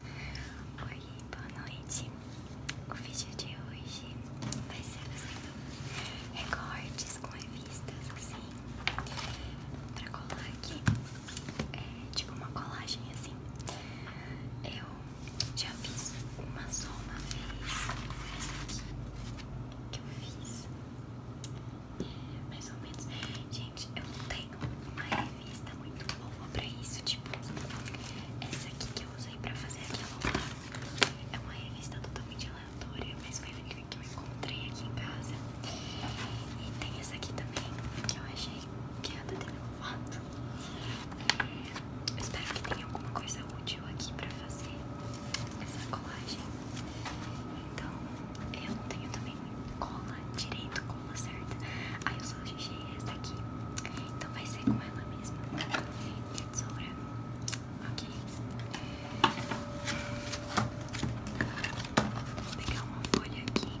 Oi, boa noite. O vídeo de hoje vai ser fazendo recortes com revistas assim pra colar aqui. É, tipo uma colagem assim. Eu já fiz uma só uma vez essa aqui que eu fiz. É, mais ou menos gente, eu não tenho uma revista muito boa pra isso, tipo, essa aqui que eu usei pra fazer aquela é uma revista totalmente aleatória, mas foi a única que eu encontrei aqui em casa. E tem essa aqui também, que eu achei que é a da Demi Eu espero que tenha alguma coisa útil aqui pra fazer essa colagem. Então, eu não tenho também cola direito, cola certa. Aí eu só deixei essa aqui. Então vai ser com ela mesma. E a tesoura. Ok. Vou pegar uma folha aqui.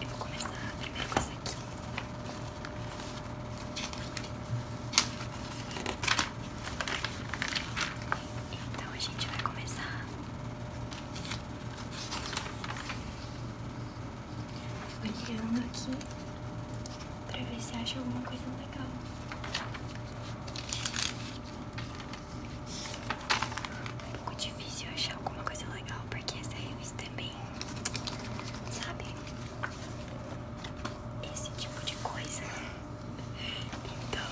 Eu vou começar primeiro com essa aqui. Então a gente vai começar olhando aqui para ver se acha alguma coisa legal um pouco difícil achar alguma coisa legal porque essa revista é bem, sabe, esse tipo de coisa. Então,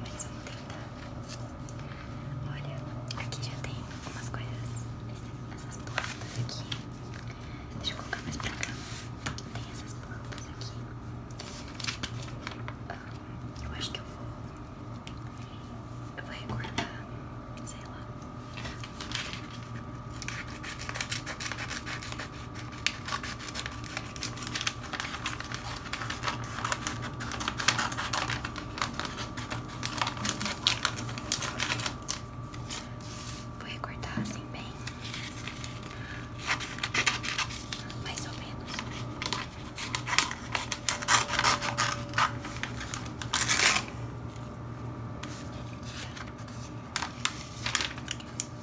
mas vamos tentar. Olha, aqui já tem algumas coisas, essas plantas aqui. Deixa eu colocar mais pra cá. Tem essas plantas aqui. Ah, eu acho que eu vou. Eu vou recortar, sei lá. Vou recortar assim bem mais ou menos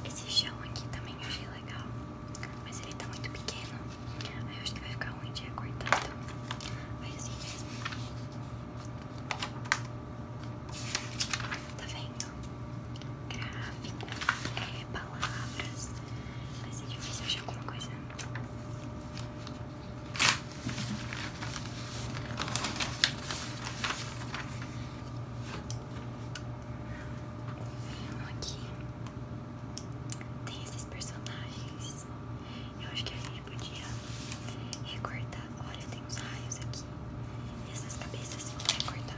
esse chão aqui também eu achei legal, mas ele tá muito pequeno. Aí eu acho que vai ficar ruim de recortar. Mas assim mesmo. Tá vendo? Gráfico, é, palavras. Vai ser difícil achar alguma coisa Vendo aqui, tem esses personagens. Eu acho que a gente podia recortar. Olha, tem uns raios aqui. E essas cabeças assim, vão recortar.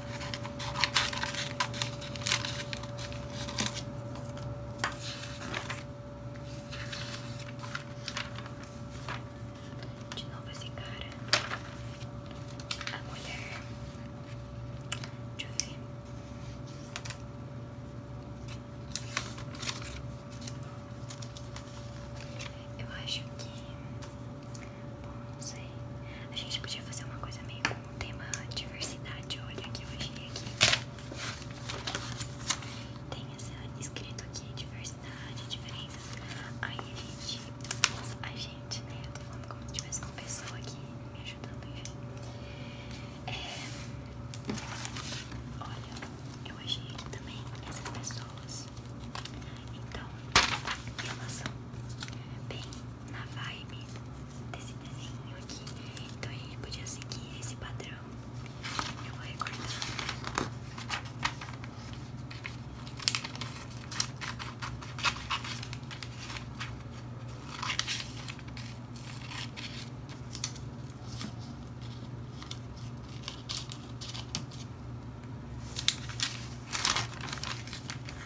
De novo esse cara. A mulher. Deixa eu Eu acho que. Bom, não sei. A gente podia fazer uma coisa meio o tema diversidade, olha que eu achei aqui. Tem essa escrito aqui, diversidade, diferenças. Aí a gente, a gente, né? Eu tô falando como se tivesse uma pessoa aqui me ajudando, enfim. É, olha, eu achei aqui também essas pessoas. Então, elas são bem na vibe desse desenho aqui. Então a gente podia seguir esse padrão. Eu vou recortar.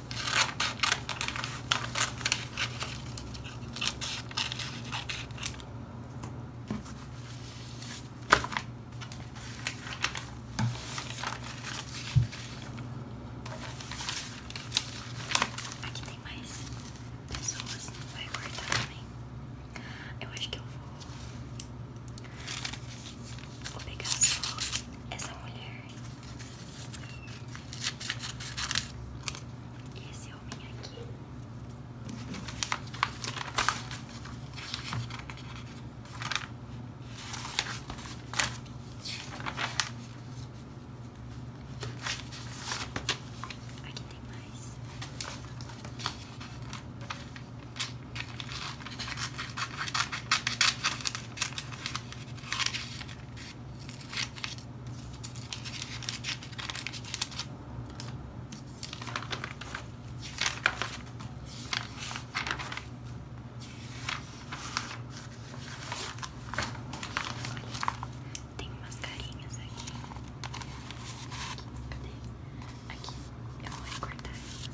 Aqui tem mais pessoas, não vai cortar também. Eu acho que eu vou, vou pegar só essa mulher esse homem aqui. Aqui tem mais. Olha Olha, tem umas carinhas aqui. Cadê? Aqui, eu vou recortar elas.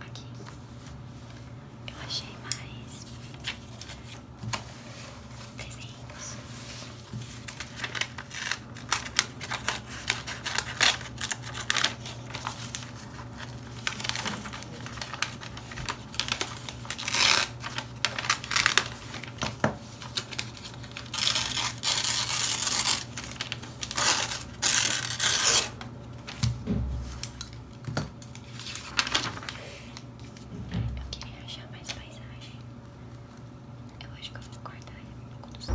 Aqui eu achei mais desenhos. Eu queria achar mais paisagem. Eu acho que eu vou cortar um pouco do céu.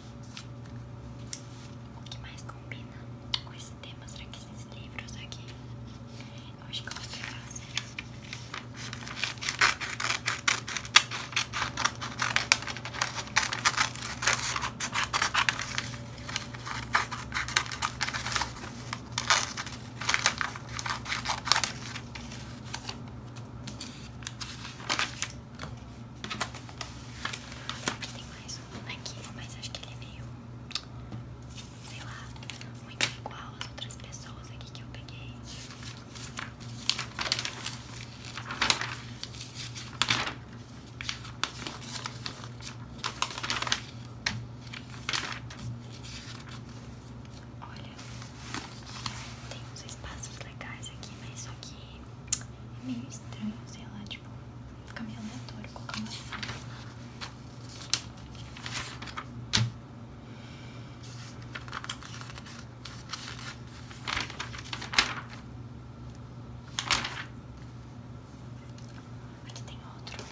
O que mais combina com esses temas Será que esses livros aqui? Eu acho que eu vou pegar assim. Tem mais um aqui, mas acho que ele é meio, sei lá, muito igual as outras pessoas aqui que eu peguei. Olha, tem uns espaços legais aqui, mas só que é meio estranho, sei lá, tipo, fica meio aleatório colocar uma sala. Aqui tem outro.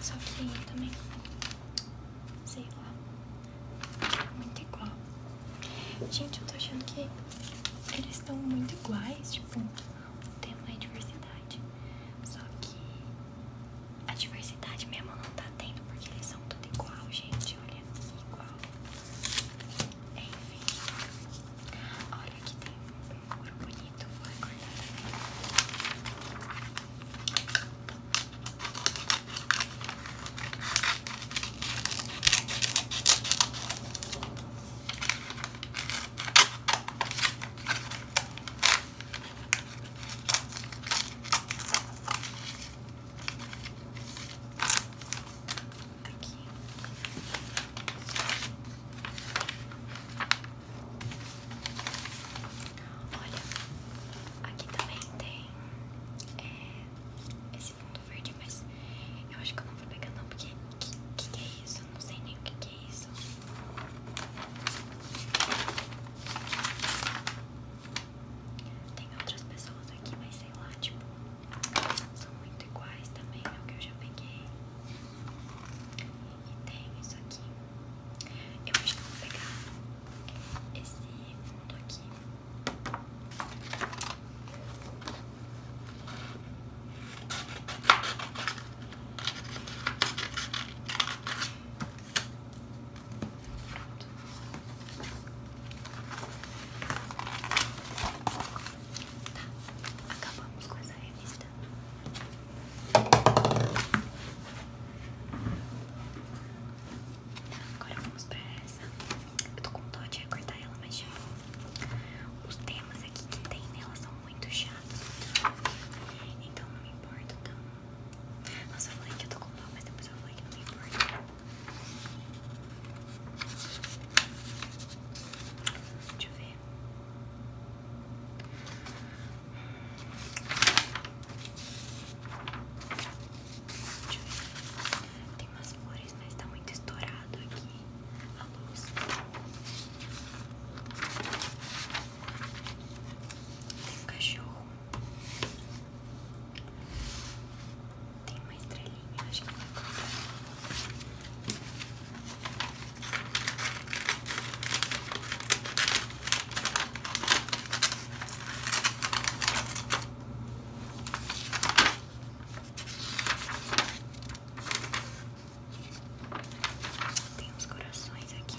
Só que também. Sei lá. Muito igual. Gente, eu tô achando que eles estão muito iguais, tipo, o tema é diversidade. Só que a diversidade mesmo não tá tendo, porque eles são tudo igual, gente. Olha, igual. É, enfim. Olha que tem um muro bonito, vou recordar também. Aqui. Olha, aqui também tem é, esse esse fundo verde, mas eu acho que eu não vou pegar não, porque o que, é isso? Eu não sei nem o que, que é isso. Tem outras pessoas aqui, mas sei lá, tipo, são muito iguais também ao que eu já peguei. E tem isso aqui. Eu acho que eu vou pegar esse fundo aqui. Tá, acabamos com essa revista. Agora vamos pra essa. Eu tô com dó de recortar ela, mas já. É. Os temas aqui que tem nela são muito chatos. Então não me importa tanto. Nossa, eu falei que eu tô com dó, mas depois eu falei que não me importa. Deixa eu ver. Deixa eu ver. Tem umas flores, mas está muito estourado aqui a luz. Tem um cachorro. Tem uma estrelinha, acho que vai colocar. Tem uns corações aqui.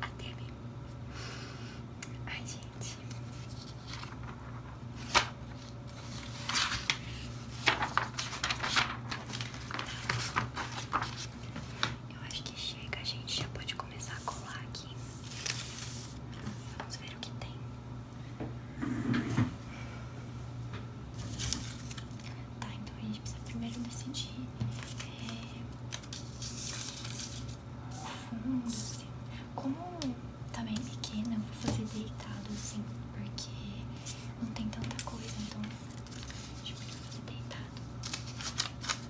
até TV. Ai, gente. Eu acho que chega, a gente já pode começar a colar aqui. Vamos ver o que tem. Tá, então a gente precisa primeiro decidir é, fundo, assim. Como tá bem pequeno, eu vou fazer deitado, assim, porque não tem tanta coisa, então acho que eu fazer deitado.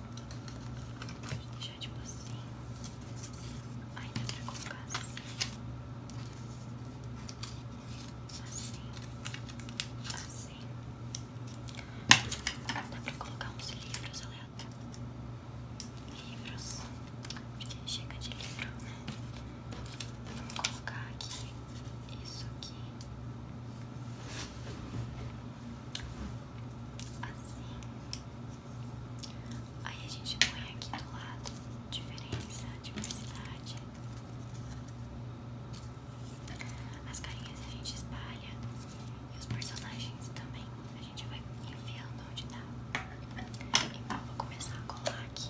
Pode deixar tipo assim. ainda dá colocar assim assim, assim. Dá pra colocar uns livros aleatórios. Livros, porque chega de livro, né? Vamos colocar aqui isso aqui. Assim. Aí a gente põe aqui do lado diferença, diversidade. As carinhas a gente espalha e os personagens também. A gente vai enfiando onde dá. Tá. Então eu vou começar a colar aqui.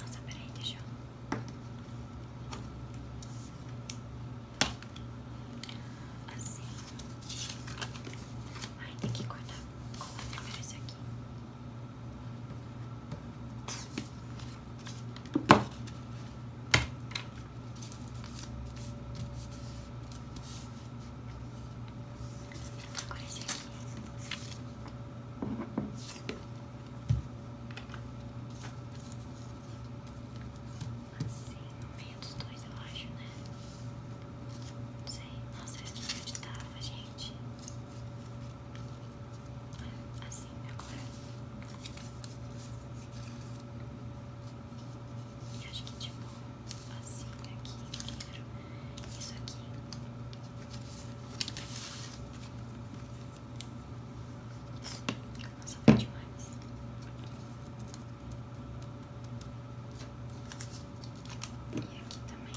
Nossa, peraí, deixa eu. Assim. Ai, tem que cortar com primeiro esse aqui. Agora esse aqui. Assim, no meio dos dois, eu acho, né? Não sei. Nossa, eu não acreditava, gente. Assim, agora. e acho que, tipo, assim aqui no Isso aqui. Nossa, foi demais. E aqui também.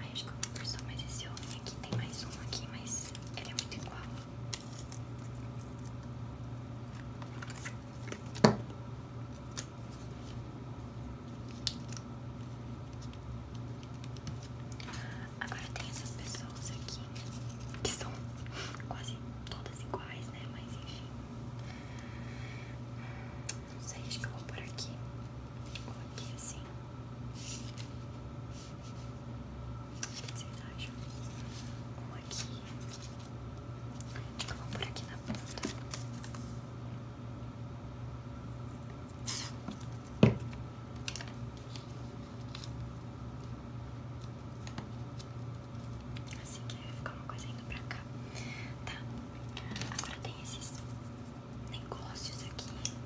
Ai, acho que eu vou por só mais esse homem aqui. Tem mais um aqui, mas ele é muito igual. Agora tem essas pessoas aqui que são quase todas iguais, né? Mas enfim. Não sei, acho que eu vou por aqui. Ou aqui assim. vocês acham? Um aqui. Acho que eu vou por aqui na ponta. Assim que ficar uma coisa indo pra cá. Tá. Agora tem esses negócios aqui.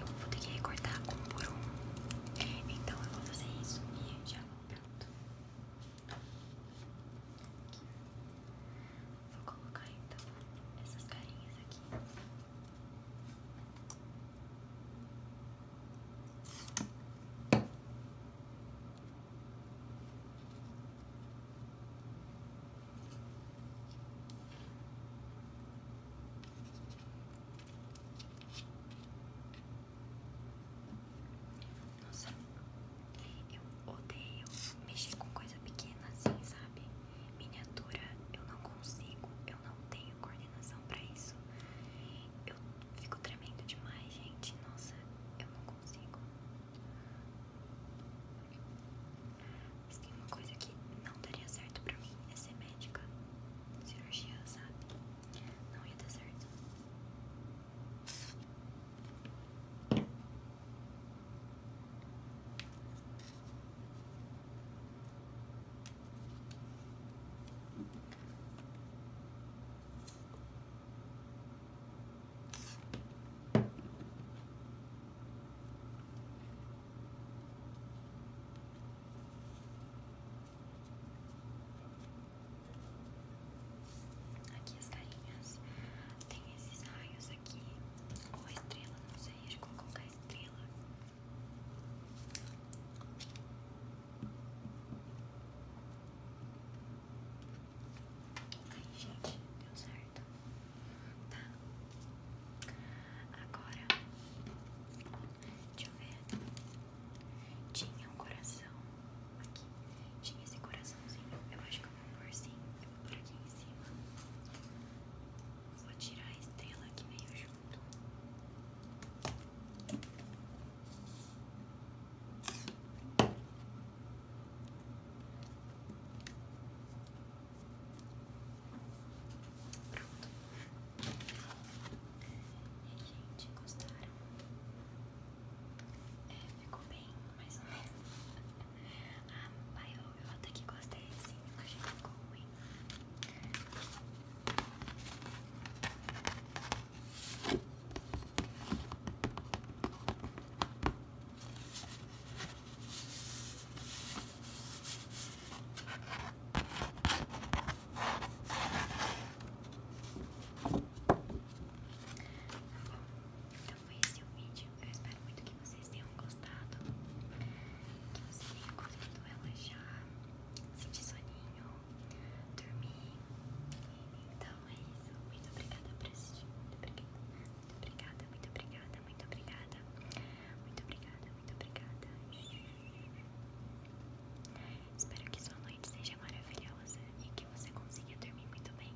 Eu vou ter que recortar um por um. Então eu vou fazer isso e já pronto. Vou colocar então essas carinhas aqui. Nossa, eu odeio mexer com coisa pequena assim, sabe? Miniatura, eu não consigo, eu não tenho coordenação pra isso. Eu fico tremendo demais, gente. Nossa, eu não consigo. Mas tem uma coisa que não daria certo pra mim: é ser médica, cirurgia, sabe? Não ia dar certo. Aqui as carinhas. Tem esses raios aqui. Ou estrela, não sei. Acho qual vou estrela. Ai, gente, deu certo. Tá. Agora, deixa eu ver. Tinha um coração aqui. Tinha esse coraçãozinho. Eu acho que eu vou pôr sim. Eu vou pôr aqui em cima. Vou tirar a estrela aqui meio junto. Pronto. E, gente, gostaram? É, ficou bem, mais ou menos. Ah, pai, eu, eu até que gostei, sim. a gente ficou ruim. Então foi esse o vídeo. Eu espero muito que vocês tenham gostado. Que vocês tenham conseguido relaxar, sentir soninho, dormir. Então então é isso. Muito obrigada por assistir. Muito obrigada. Muito obrigada, muito obrigada, muito obrigada. Muito obrigada, Espero que sua noite seja maravilhosa e que você consiga dormir muito bem.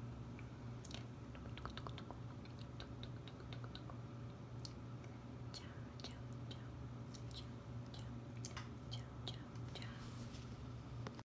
Tchau, tchau, tchau. Tchau, tchau, tchau, tchau.